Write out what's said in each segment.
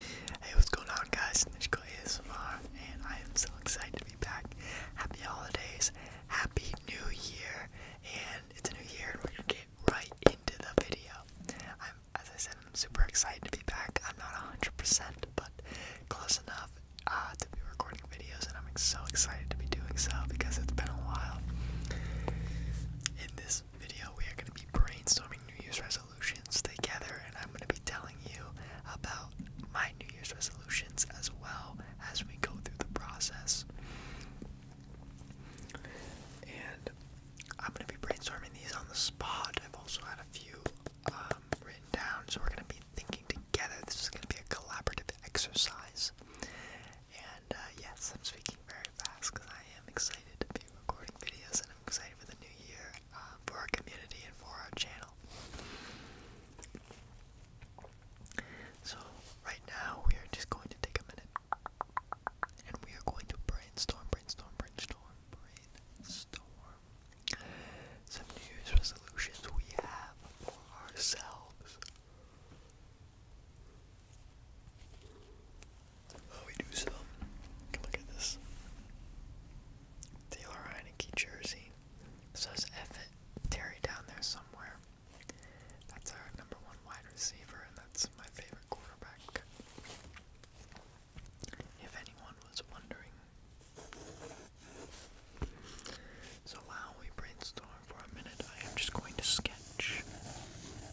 Hey, what's going on, guys? Nishko ASMR, and I am so excited to be back. Happy holidays, happy new year, and it's a new year, and we're gonna get right into the video. I'm, as I said, I'm super excited to be back. I'm not 100%, but close enough uh, to be recording videos, and I'm so excited to be doing so because it's been a while. In this video, we are gonna be brainstorming New Year's resolutions together, and I'm going to be telling you about my New Year's resolutions as well as we go through the process. And I'm going to be brainstorming these on the spot. I've also had a few um, written down, so we're going to be thinking together. This is going to be a collaborative exercise. And uh, yes, I'm speaking very really fast because I am excited to be recording videos and I'm excited for the new year uh, for our community and for our channel. So, right now, we are just going to take a minute and we are going to brainstorm, brainstorm, brainstorm, brainstorm some New Year's resolutions we have for ourselves. Oh, we do some. Look at this. Taylor Heineke jersey. Says F Terry down there somewhere. That's our number one wide receiver, and that's my favorite quarterback. If anyone was wondering. So while we brainstorm for a minute, I am just going to sketch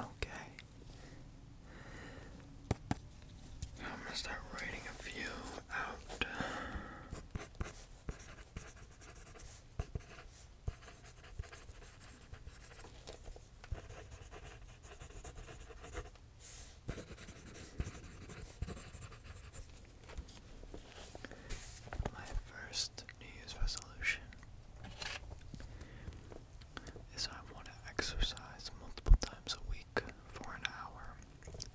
Okay. I'm gonna start writing a few out. My first New Year's resolution is I want to exercise multiple times a week for an hour.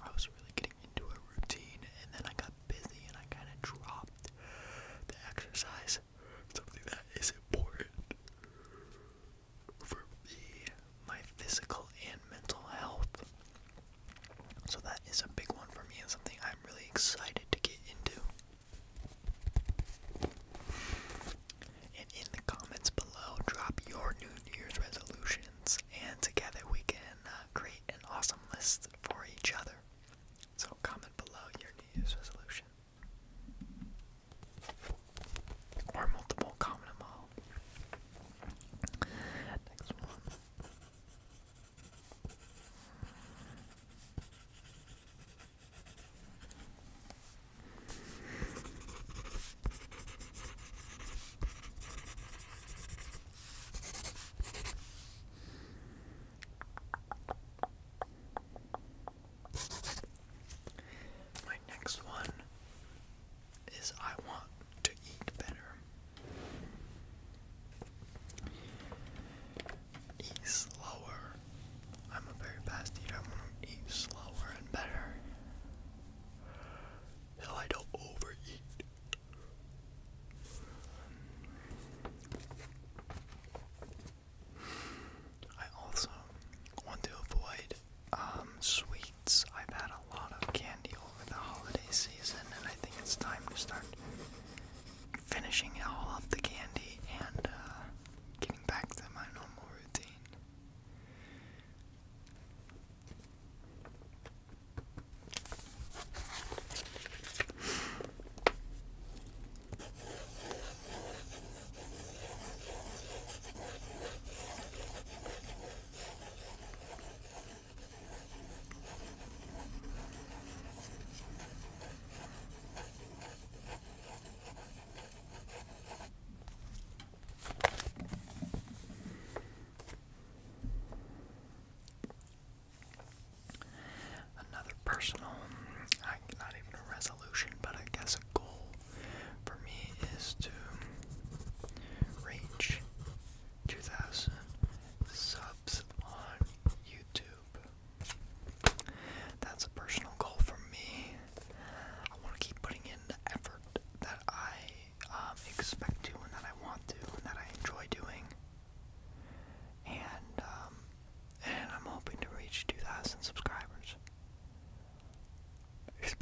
I was really getting into a routine and then I got busy and I kind of dropped the exercise. Something that is important for me my physical and mental health. So that is a big one for me and something I'm really excited to get into. And in the comments below, drop your New Year's resolutions, and together we can uh, create an awesome list for each other. So, comment below your New Year's resolution. Or multiple, comment them all. Next one. My next one is I want to eat better. Eat slower. I'm a very fast eater. I want to eat slower and better. So I don't overeat. I also want to avoid um, sweets. I've had a lot of candy over the holiday season, and I think it's time to start finishing all of the candy and uh, getting back to my normal routine. Another personal, not even a resolution, but I guess a goal for me is to reach 2,000 subs on YouTube. That's a personal goal for me. I want to keep putting in the effort that I um, expect to and that I want to and that I enjoy doing. And um, and I'm hoping to reach 2,000 subscribers. Here's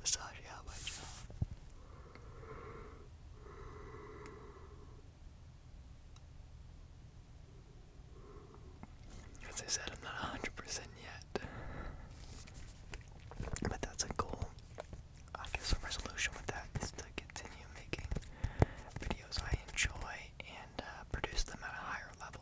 As I said, I'm not 100% yet. But that's a goal. I guess a resolution with that is to continue making videos I enjoy and uh, produce them at a higher level.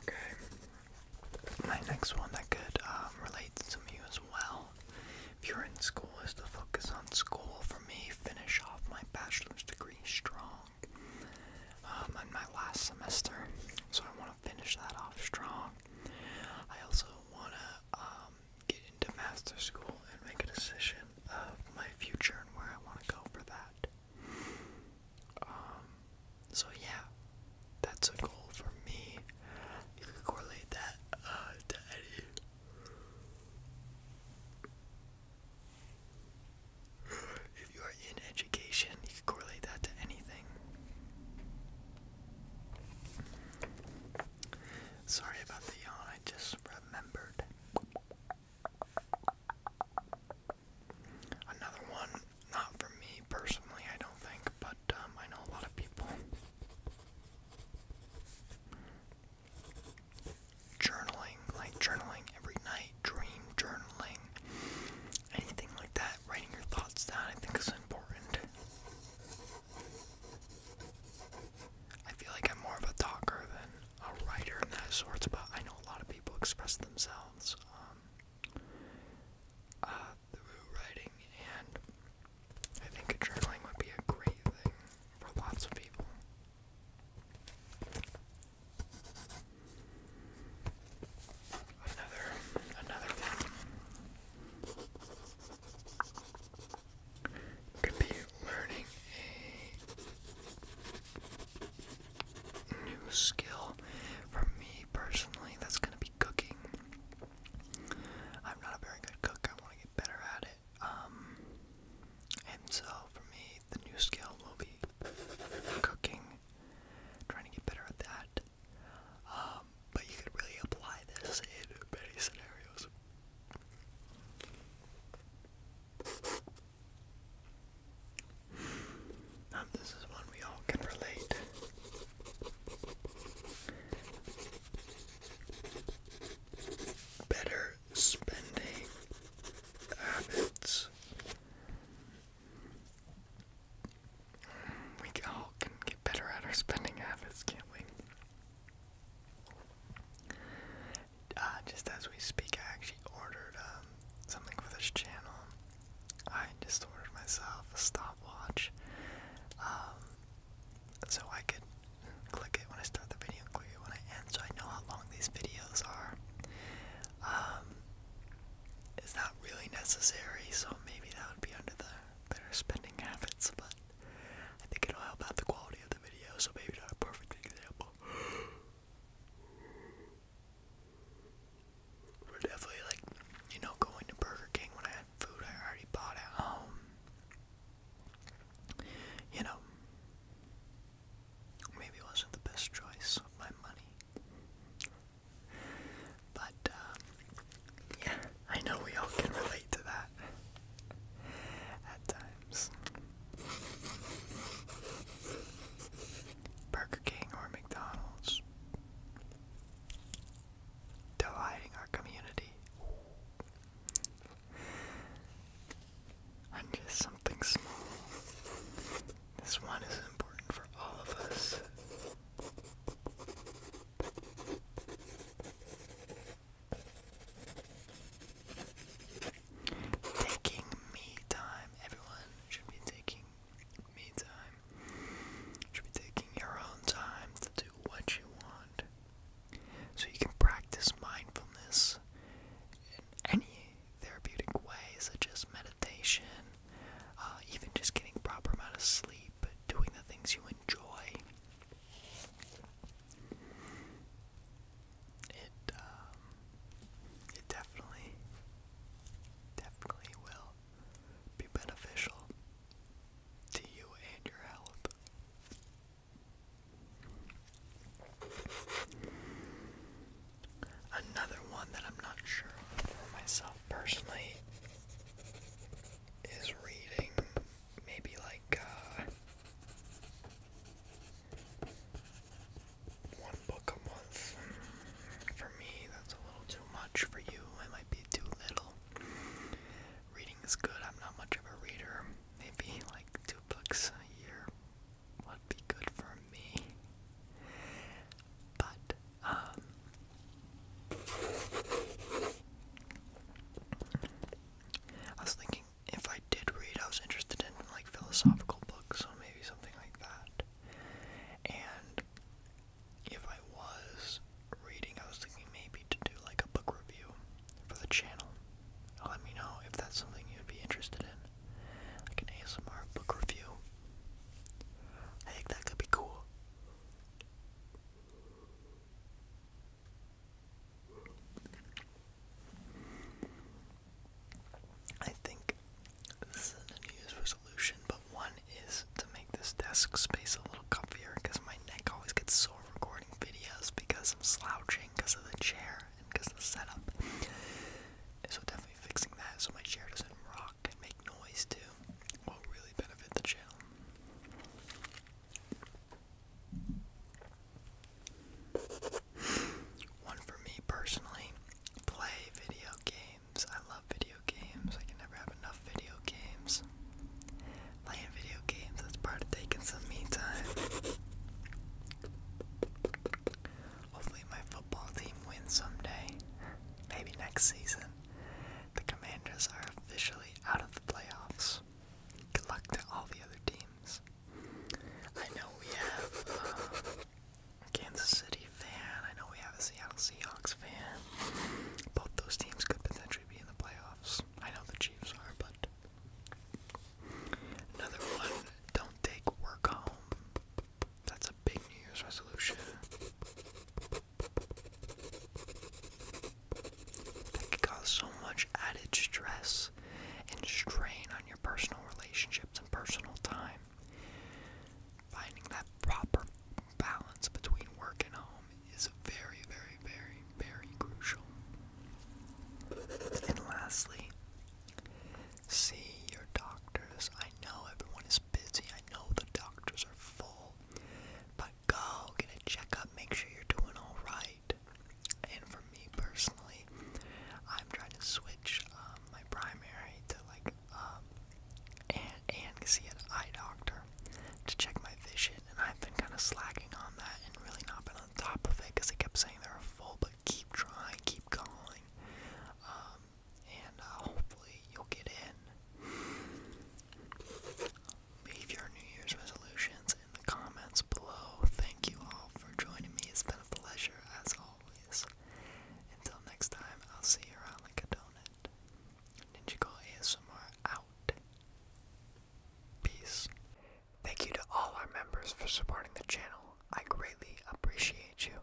Okay. My next one that could um, relate to you as well, if you're in school, is to focus on school. For me, finish off my bachelor's degree strong I'm um, in my last semester, so I want to finish that off strong. I also want to um, get into master's school and make a decision of my future and where I want to go for that. Um, so yeah, that's a goal for me. You can correlate that uh, to any. If you are in education, you can correlate that to anything. Sorry about the yawn, I just remembered. Another one, not for me personally, I don't think, but um, I know a lot of people. Journaling, like journaling every night, dream journaling, anything like that, writing your thoughts down, I think is important. I feel like I'm more of a talker than a writer and that sorts, but I know a lot of people express themselves um, uh, through writing, and I think journaling would be a great thing for lots of people. Another, another learning a new skill for me personally that's going to be cooking. I'm not a very good cook. I want to get better at it. Um, and so for me the new skill will be cooking. Trying to get better at that. Um, but you could really apply this in many scenarios. And this is one we all can relate. Better spending habits. We all can get better at our spending habits, can't we? Uh, just as we speak, I actually ordered um, something for this channel. I just ordered myself a stopwatch, um, so I could click it when I start the video, click it when I end, so I know how long these videos are. Um, it's really necessary, so maybe that would be under the better spending habits, but I think it'll help out the quality of video, so maybe not a perfect example. But definitely, like, you know, going to Burger King when I had food I already bought at home. You know, maybe it wasn't the best choice of my money. But, uh, yeah, I know we all can relate to that at times. Burger King or McDonald's. Delighting our community. I'm just something small. This one is important for all of us. Taking me time. Everyone should be taking me time. Should be taking your own time to do what you want. So you can practice mindfulness in any therapeutic way, such as meditation, uh, even just getting proper amount of sleep, doing the things you enjoy. It um, it definitely definitely will be beneficial to you and your health. Another one that I'm not sure for myself personally is reading maybe like uh, one book a month. For me, that's a little too much. For you, it might be too little. Reading is good. I'm not much of a reader. Maybe like two books a year would be good for me. But um, I was thinking if I did read, I was interested in like philosophical books, so maybe something like that. And if I was reading, I was thinking maybe to do like a book review for the channel. Let me know if that's something you'd be interested in. Like an ASMR book review. I think that could be cool. I think this a New Year's resolution, but one is to make this desk space a little comfier because my neck always gets sore recording videos because I'm slouching because of the chair and because the setup. So, definitely fixing that so my chair doesn't rock and make noise too will really benefit the channel. One for me personally, play video games. I love video games. I can never have enough video games. Playing video games thats part of taking some me time. Hopefully, my football team wins someday. Maybe next season. The Commanders are officially out of the playoffs. Good luck to all the other teams. I know we have a uh, Kansas City fan. I know we have a Seattle Seahawks fan. Both those teams could potentially be in the playoffs. I know the Chiefs are, but. Another one, don't take work home. That's a big New Year's resolution. That can cause so much added stress and strain on your personal relationships and personal time. Finding that proper balance between work and home is very, very, very, very crucial. And lastly, see your doctors. I know everyone is busy, I know the doctors are full. But go get a checkup, make sure you're doing alright. And for me personally, I'm trying to switch um, my primary to like um, and and see an eye doctor to check my vision, and I've been kind of slacking on that and really not been on top of it because they kept saying they are full, but keep trying, keep going. Um, and uh, hopefully you'll get in. Leave your New Year's resolutions in the comments below. Thank you all for joining me. It's been a pleasure as always. Until next time, I'll see you around like a donut. Ninjago ASMR out. Peace. Thank you to all our members for supporting the channel. I greatly appreciate you.